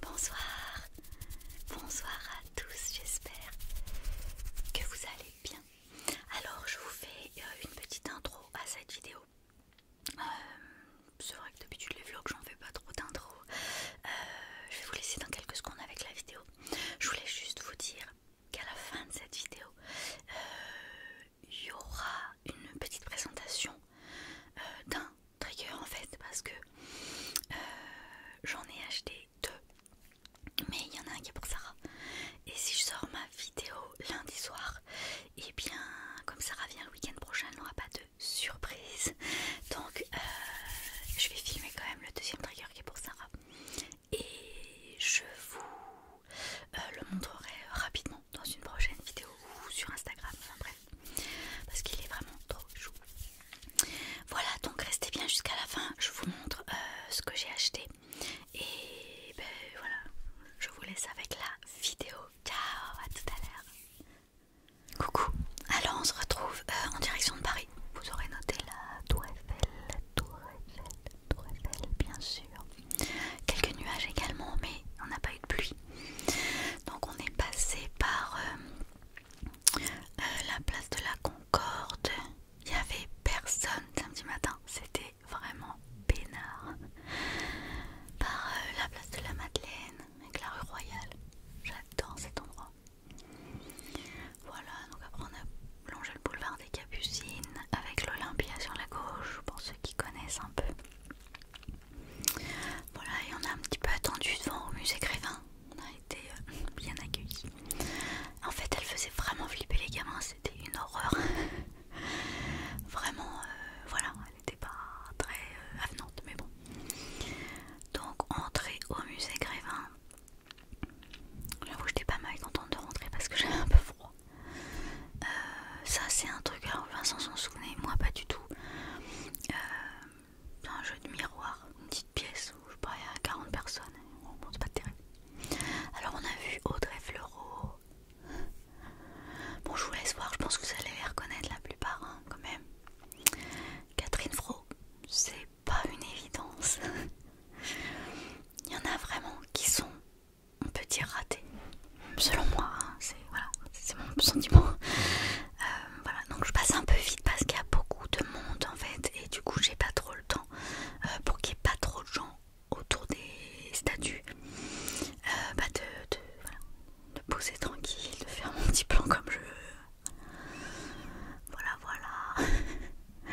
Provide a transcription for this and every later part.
Bonsoir, bonsoir à tous, j'espère que vous allez bien. Alors je vous fais euh, une petite intro à cette vidéo. Euh, c'est vrai que d'habitude les vlogs j'en fais pas trop d'intro. Euh, je vais vous laisser dans quelques secondes avec la vidéo je voulais juste vous dire qu'à la fin de cette vidéo, euh, il y aura une petite présentation euh, d'un trigger en fait, parce que euh, j'en ai acheté deux, mais il y en a un qui est pour Sarah. Et si je sors ma vidéo lundi soir, et eh bien comme Sarah vient le week-end prochain, elle n'aura pas de surprise. Donc, euh, je vais filmer quand même le deuxième trigger qui est pour Sarah. Et je vous euh, le montrerai rapidement dans une prochaine vidéo ou sur Instagram. bref, parce qu'il est vraiment trop chou. Voilà, donc restez bien jusqu'à la fin. Je vous montre euh, ce que j'ai acheté. Et ben voilà, je vous laisse avec la vidéo. Ciao, à tout à l'heure. Coucou. Alors on se retrouve euh, en direction de Paris. Vous aurez noté la Tour Eiffel, la Tour Eiffel, Tour Eiffel, bien sûr. Quelques nuages également, mais on n'a pas eu de pluie. Donc on est passé par euh, euh, la place de la Concorde. Il n'y avait personne samedi matin. C'était vraiment peinard. Par la place de la Madeleine avec la rue Royale. J'adore cet endroit. Voilà, donc après on a plongé le boulevard des Capucines avec l'Olympia sur la gauche pour ceux qui connaissent un peu. Voilà, et on a un petit peu attendu devant au musée Grévin. On a été euh, bien accueillis. En fait, elle faisait vraiment flipper les gamins, c'était une horreur. vraiment, euh, voilà, elle n'était pas très euh, avenante, mais bon. Donc entrée au musée Grévin. J'avoue j'étais pas mal contente de rentrer parce que j'avais un peu froid. Euh, ça c'est un truc, alors Vincent s'en souvenir, moi pas du tout. c'est euh, un jeu de miroir, une petite pièce où je parlais à 40 personnes. Bon, c'est pas terrible. Alors on a vu Audrey Fleuro. Bon, je vous laisse voir, je pense que vous allez les reconnaître la plupart hein, quand même. Catherine Fro, c'est pas une évidence. Il y en a vraiment qui sont, on peut dire, ratés. Selon moi, hein, c'est mon sentiment. Euh, voilà, donc je passe un peu vite parce qu'il y a beaucoup de monde en fait, et du coup, j'ai pas trop le temps euh, pour qu'il n'y ait pas trop de gens autour des statues. Euh, bah, de poser tranquille, de faire mon petit plan comme je veux. Voilà, voilà. elle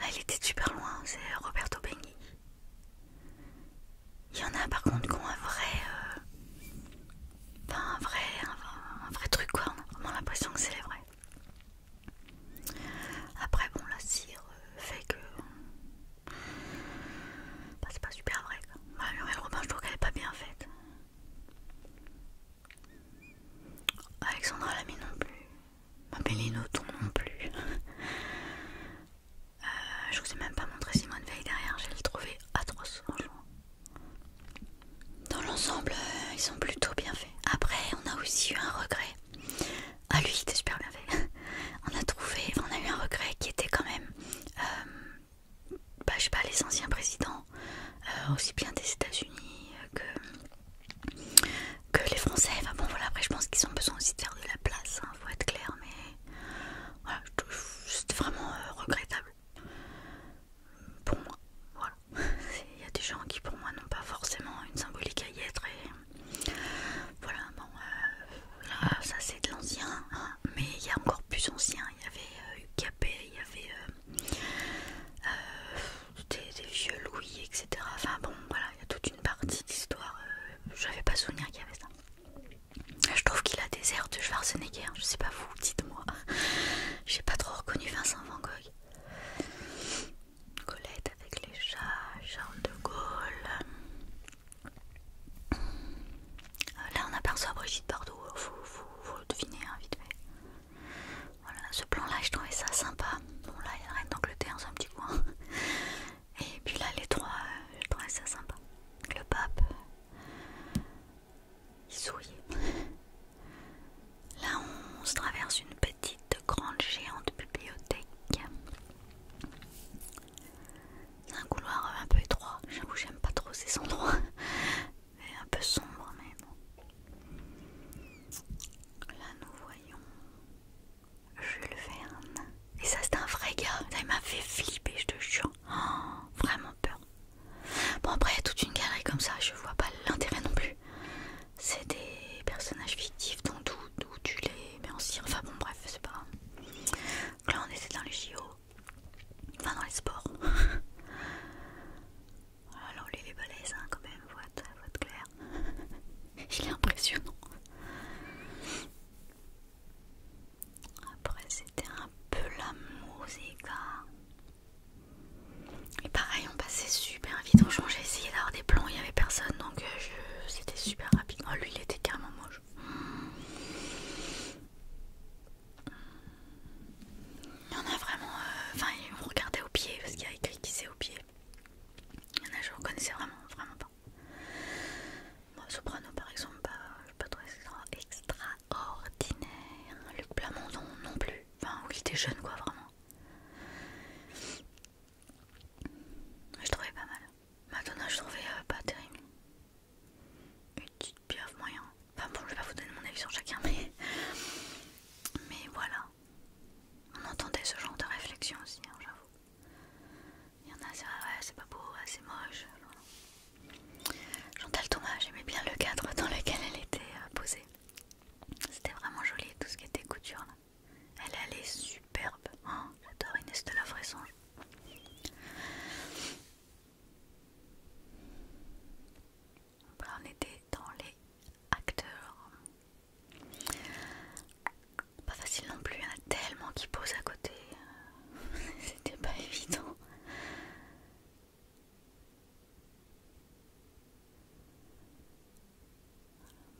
ah, il était super loin, c'est Roberto Benigni. Il y en a par contre qui ont un vrai. Euh, enfin un vrai. Un, vrai truc quoi, on a l'impression que c'est les vrais Après, bon, la cire euh, fait que. Bah, c'est pas super vrai. quoi. Bah, je trouve qu'elle est pas bien faite. Alexandra Lamy non plus. Bah, Ma tout non plus. Euh, je vous ai même pas montré Simone Veil derrière, j'ai le trouvé atroce Dans l'ensemble, euh, ils sont plutôt bien faits. Après, on a aussi eu un regret. Ah lui, il était super bien fait. on a trouvé, on a eu un regret qui était quand même euh, bah, je sais pas, les anciens présidents, euh, aussi bien des États-Unis euh, que, que les Français. bon, voilà, après, je pense qu'ils ont besoin aussi de faire de la place, il hein, faut être clair, mais voilà, c'était vraiment regrettable pour moi. Voilà, il y a des gens qui, pour moi, n'ont pas forcément une symbolique à y être, voilà, euh, ça c'est de l'ancien, hein, mais il y a encore plus ancien. Il y avait euh, il y avait euh, euh, des, vieux Louis, etc. Enfin bon, voilà, il y a toute une partie d'histoire. j'avais je n'avais pas souvenir qu'il y avait ça. Je trouve qu'il a des airs de Schwarzenegger, je sais pas vous, dites-moi. J'ai pas trop reconnu Vincent Van Gogh. Colette avec les chats, Charles de Gaulle, euh, là, on aperçoit Brigitte Bardot, vous, euh, le devinez hein, vite fait. Voilà, ce plan-là, je trouvais ça sympa. Bon, là, il y a la reine d'Angleterre un petit coin. Et puis là, les trois, euh, je trouvais ça sympa. Le pape, il sourit. Là, on se traverse une petite grande géante bibliothèque un couloir un peu étroit. J'avoue, j'aime pas trop ces endroits. Et un peu sombre, même bon. Là, nous voyons Jules Verne. Et ça, c'est un vrai gars. ça il m'a fait flipper, je te jure. Oh, vraiment peur. Bon, après, il y a toute une galerie comme ça. Je vois pas l'intérêt non plus. C'est des personnages fictifs, donc tout tu les mais en cire, enfin bon bref, c'est pas là on était dans les JO, enfin dans les sports. Alors lui les quand même, voix de clair. Il est impressionnant. Après c'était un peu la musique. Hein. Et pareil on passait super vite, on changeait, essayé d'avoir des plans, il n'y avait personne donc euh, c'était super rapide. Oh, lui, il était carrément moche. Il y en a vraiment. Euh, enfin, il me regardait au pied parce qu'il y a écrit qui c'est au pied. Il y en a, je reconnaissais vraiment, vraiment pas. Bon, soprano par exemple, bah, pas. je sais pas trop extraordinaire. Luc Plamondon non plus. Enfin, oui, il était jeune quoi, vraiment. Je trouvais pas mal. Madonna, je trouvais euh, pas terrible. Une petite pieuvre moyen. Enfin bon, je vais pas vous donner mon avis sur chacun, mais. Mais voilà. On entendait ce genre de réflexion aussi, hein, j'avoue. Il y en a, c'est c'est pas beau, c'est moche. Voilà. Chantal Thomas, j'aimais bien le cadre dans lequel elle était euh, posée. C'était vraiment joli, tout ce qui était couture là. Elle, elle est superbe. Oh, j'adore Inès de la Fraison. Bah, on était dans les acteurs. Pas facile non plus, il y en a tellement qui posent à côté. C'était pas évident.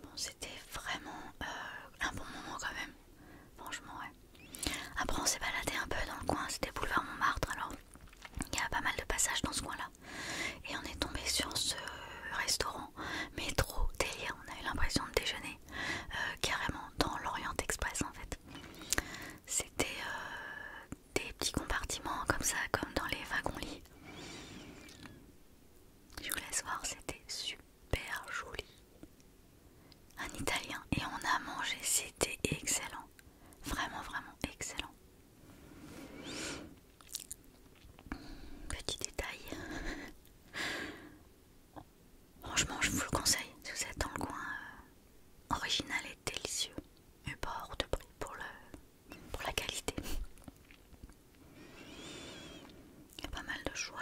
Bon, c'était vraiment euh, un bon moment quand même, franchement ouais. Après on s'est baladé un peu dans le coin, c'était boulevard Montmartre alors il y a pas mal de passages dans ce coin là. Et on est tombé sur ce restaurant, mais trop délire, on a eu l'impression de déjeuner euh, carrément dans l'Orient Express en fait. C'était euh, des petits compartiments comme ça, comme dans les wagons-lits. Je vous laisse voir, c'était super joli. Un italien et on a mangé, c'était excellent. Vraiment, vraiment excellent. Petit détail. Franchement, je vous le conseille. Si vous êtes dans le coin, euh, original et délicieux. mais pas hors de prix pour le, pour la qualité. Il y a pas mal de choix.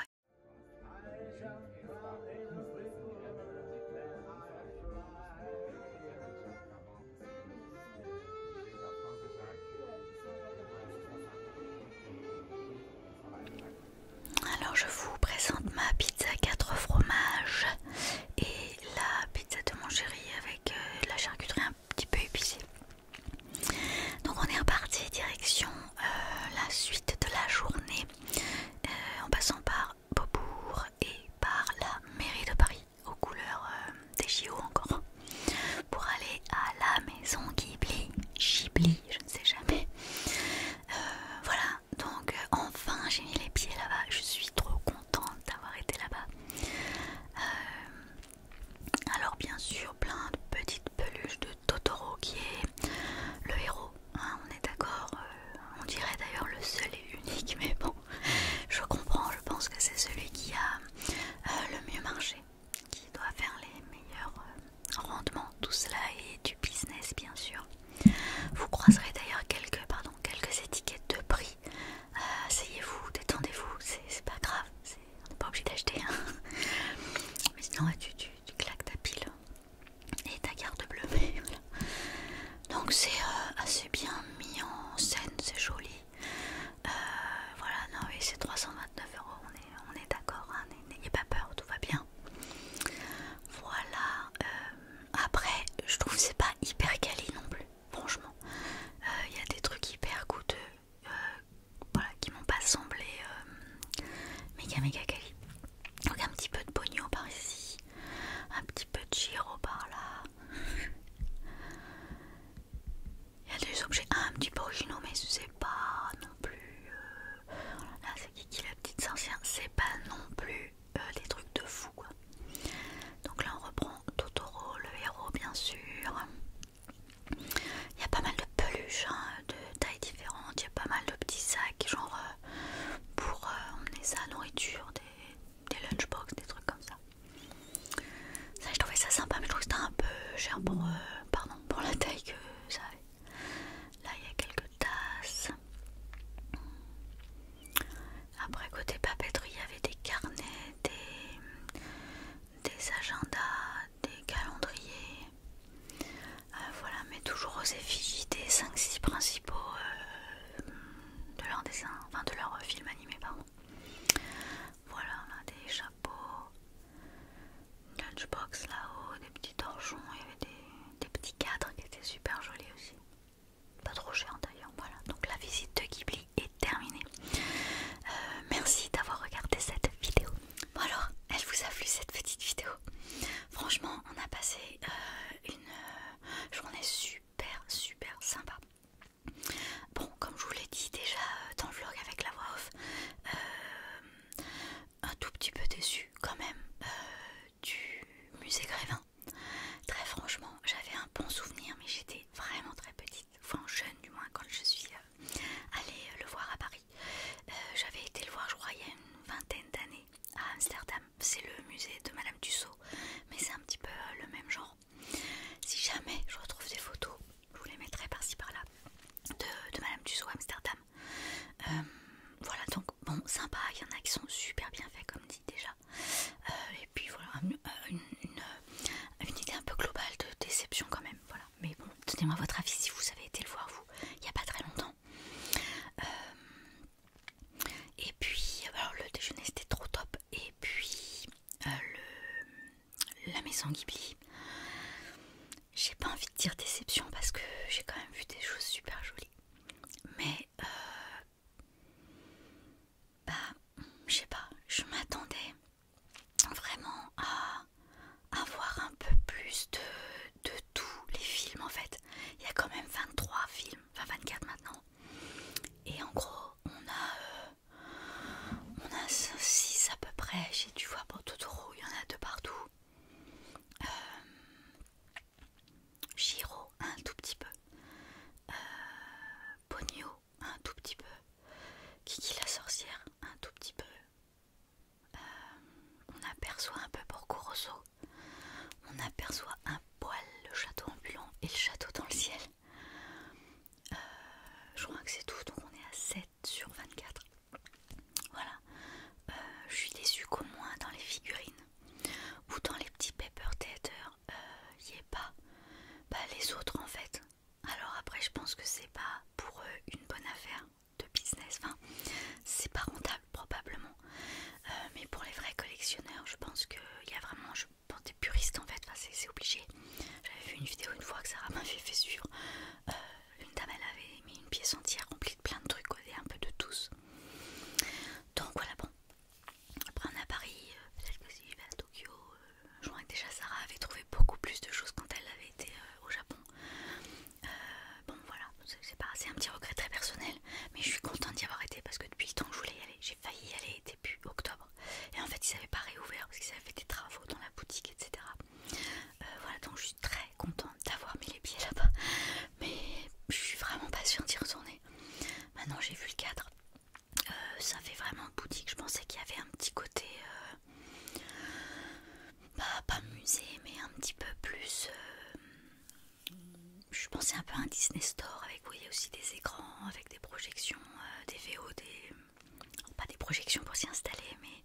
Alors je vous présente ma pizza 4 fromages et la pizza de mon chéri avec euh, la charcuterie petit peu épicé. Donc on est reparti direction euh, la suite de la journée euh, en passant par Beaubourg et par la mairie de Paris aux couleurs euh, des JO encore pour aller à la maison Ghibli, Ghibli, je ne sais jamais. voilà, donc enfin j'ai mis les pieds là-bas, je suis trop contente d'avoir été là-bas. Alors bien sûr plein de petites peluches de Totoro qui est le héros, hein, on est d'accord, euh, on dirait d'ailleurs le seul et unique, mais bon, je comprends, je pense que c'est celui qui a euh, le mieux marché, qui doit faire les meilleurs euh, rendements, tout cela est du business bien sûr. Vous croiserez d'ailleurs quelques étiquettes de prix ah, asseyez-vous, détendez-vous, c'est pas grave, on n'est pas obligé d'acheter. Hein. Mais sinon, tu, claques ta pile et ta garde bleue. Donc, c'est euh, assez bien mis en scène, c'est joli. Euh, voilà, non, oui, c'est 329 euros, on est, d'accord, hein, n'ayez pas peur, tout va bien. Voilà, euh, après, je trouve que c'est pas hyper calé non plus franchement. Euh, il y a des trucs hyper coûteux euh, qui m'ont pas semblé euh, méga méga quali. Donc un petit peu de pognon par ici, un petit peu de giro par là. Il y a des objets un petit peu originaux, mais c'est pas non plus. c'est la c'est pas non plus des trucs de fou donc là on reprend Totoro, le héros bien sûr. Il y a pas mal de peluches hein, de tailles différentes, il y a pas mal de petits sacs genre euh, pour euh, emmener sa nourriture, des, lunchbox, des trucs comme ça. Ça je trouvais ça sympa mais je trouve que c'était un peu cher euh, pardon, pour la taille que ça avait. Là il y a quelques tasses. Après, côté papeterie, il y avait des carnets, des, agendas, des calendriers. Euh, voilà, mais toujours aux effigies des 5-6 principaux euh, de leur dessin, de leur euh, film animé, Voilà, on a des chapeaux, une lunchbox là-haut, des petits torchons, il y avait des petits cadres qui étaient super jolis aussi pas trop cher d'ailleurs. Voilà, donc la visite de Ghibli est terminée. Euh, merci d'avoir regardé cette vidéo. Bon alors, elle vous a plu cette petite vidéo. Franchement, on a passé euh, une euh, journée super super sympa. Bon, comme je vous l'ai dit déjà dans le vlog avec la voix off, un tout petit peu déçu quand même du musée Grévin. Très franchement, j'avais un bon souvenir, mais j'étais vraiment très petite, enfin jeune du moins, quand je suis euh, allée euh, le voir à Paris. Euh, j'avais été le voir, je crois, il y a une vingtaine d'années à Amsterdam. C'est le musée de Madame Tussaud, mais c'est un petit peu le même genre. Si jamais je retrouve des photos, je vous les mettrai par-ci par-là de, Madame Tussaud à Amsterdam. voilà donc, bon, sympa, il y en a qui sont super bien faits, comme dit déjà. Euh, et puis voilà, euh, une, euh, une, idée un peu globale de déception quand même. Voilà. Mais bon, donnez-moi votre avis si vous avez été le voir, vous, il n'y a pas très longtemps. et puis, alors le déjeuner c'était trop top. Et puis, le, la maison Ghibli. J'ai pas envie de dire déception parce que j'ai quand même vu des choses super jolies. Mais bah, je sais pas, je m'attendais vraiment à avoir un peu plus de, de tous les films en fait. Il y a quand même 23 films, enfin 24 maintenant. Et en gros, on a, euh, on a 6 à peu près. Tu vois, pour Totoro, il y en a deux partout. Euh, Giro un tout petit peu, euh, Ponyo, un tout petit peu, Kiki la sorcière un tout petit peu. Euh, on aperçoit un peu Porco Rosso on aperçoit un poil le château ambulant et le château dans le ciel. Euh, je crois que c'est tout, donc on est à 7 sur 24. Voilà, je suis déçue qu'au moins dans les figurines ou dans les petits paper theater il euh, n'y est pas bah, les autres en fait alors après je pense que c'est pas pour eux une bonne affaire de business enfin c'est pas rentable probablement euh, mais pour les vrais collectionneurs je pense qu'il y a vraiment je des puristes en fait c'est obligé j'avais vu une vidéo une fois que Sarah m'avait fait suivre euh, une dame avait mis une pièce entière remplie de plein de trucs et un peu de tous donc voilà, bon. Après on est à Paris, euh, peut-être que si je vais à Tokyo, euh, je déjà Sarah avait trouvé beaucoup plus de choses quand elle avait été euh, au Japon. bon voilà, c'est pas assez un petit regret très personnel, mais je suis contente d'y avoir été parce que depuis le temps que je voulais y aller, j'ai failli y aller depuis octobre. Et en fait ils avaient pas réouvert parce qu'ils avaient fait des travaux dans la boutique, etc. voilà, donc je suis très contente d'avoir mis les pieds là-bas, mais je suis vraiment pas sûre d'y retourner. Maintenant j'ai vu le cadre, euh, ça fait vraiment boutique. Je pensais qu'il y avait un petit côté, euh, bah, pas musée, mais un petit peu plus. Euh, je pensais un peu à un Disney Store avec, vous voyez, aussi des écrans, avec des projections, des VO, des. Pas des projections pour s'y installer, mais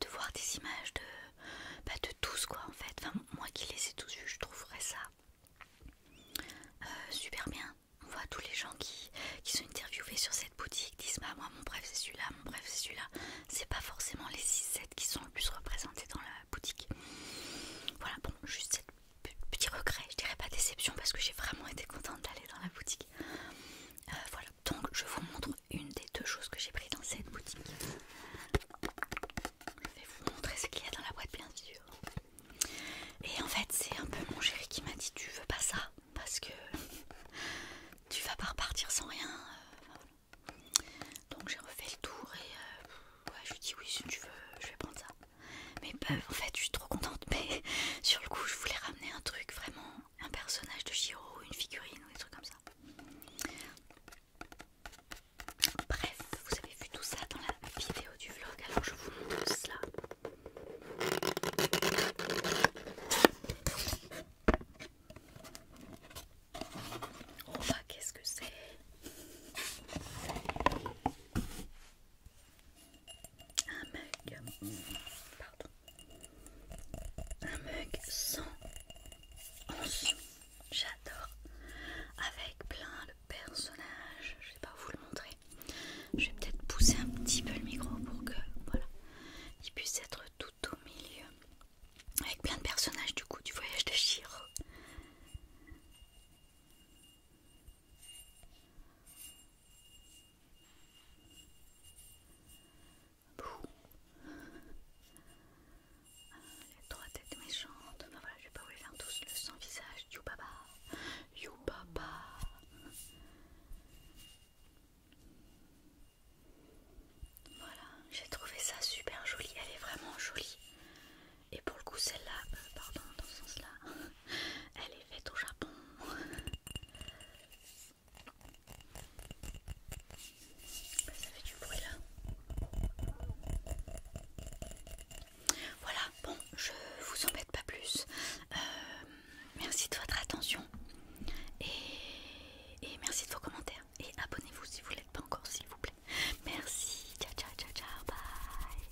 de voir des images de bah, de tous quoi en fait. moi qui les ai tous vus, je trouverais ça euh, super bien. On voit tous les gens qui, qui sont interviewés sur cette boutique disent bah moi mon bref c'est celui-là, mon bref c'est celui-là. C'est pas forcément les 6-7 qui sont le plus représentés dans la boutique. Voilà bon juste petit regret, je dirais pas déception parce que j'ai vraiment été contente d'aller dans la boutique. Euh, voilà, donc je vous montre une des deux choses que j'ai pris dans cette boutique je vais vous montrer ce qu'il y a dans la boîte bien sûr. Et en fait c'est un peu mon chéri qui m'a dit tu veux pas ça parce que tu vas pas repartir sans rien. Donc j'ai refait le tour et euh, je lui ai dit oui si tu veux je vais prendre ça. Mais bah, en fait je suis trop contente mais sur le coup je voulais ramener un truc vraiment, un personnage de Giro, une figurine ou des trucs comme ça. Bref, vous avez vu tout ça dans la vidéo du vlog, alors je vous montre cela. Oh bah qu'est-ce que c'est Un mug, pardon, un mug sans ensuite. J'adore. Avec plein de personnages. Je vais pas vous le montrer. Je vais peut-être pousser un petit peu le micro pour que voilà, il puisse être tout au milieu. Avec plein de personnages du coup du voyage de Chiro. Les trois têtes méchantes. Enfin voilà, je vais pas vous les faire tous. Le sans visage. You baba. You baba. Voilà, j'ai trouvé ça super joli. Elle est vraiment jolie. Et pour le coup, celle-là, euh, pardon, dans ce sens-là, elle est faite au Japon. Ça fait du bruit là. Voilà, bon, je vous embête pas plus. Euh, merci de votre attention et, et merci de vos commentaires. Et abonnez-vous si vous ne l'êtes pas encore, s'il vous plaît. Merci, ciao, ciao, ciao, ciao, bye.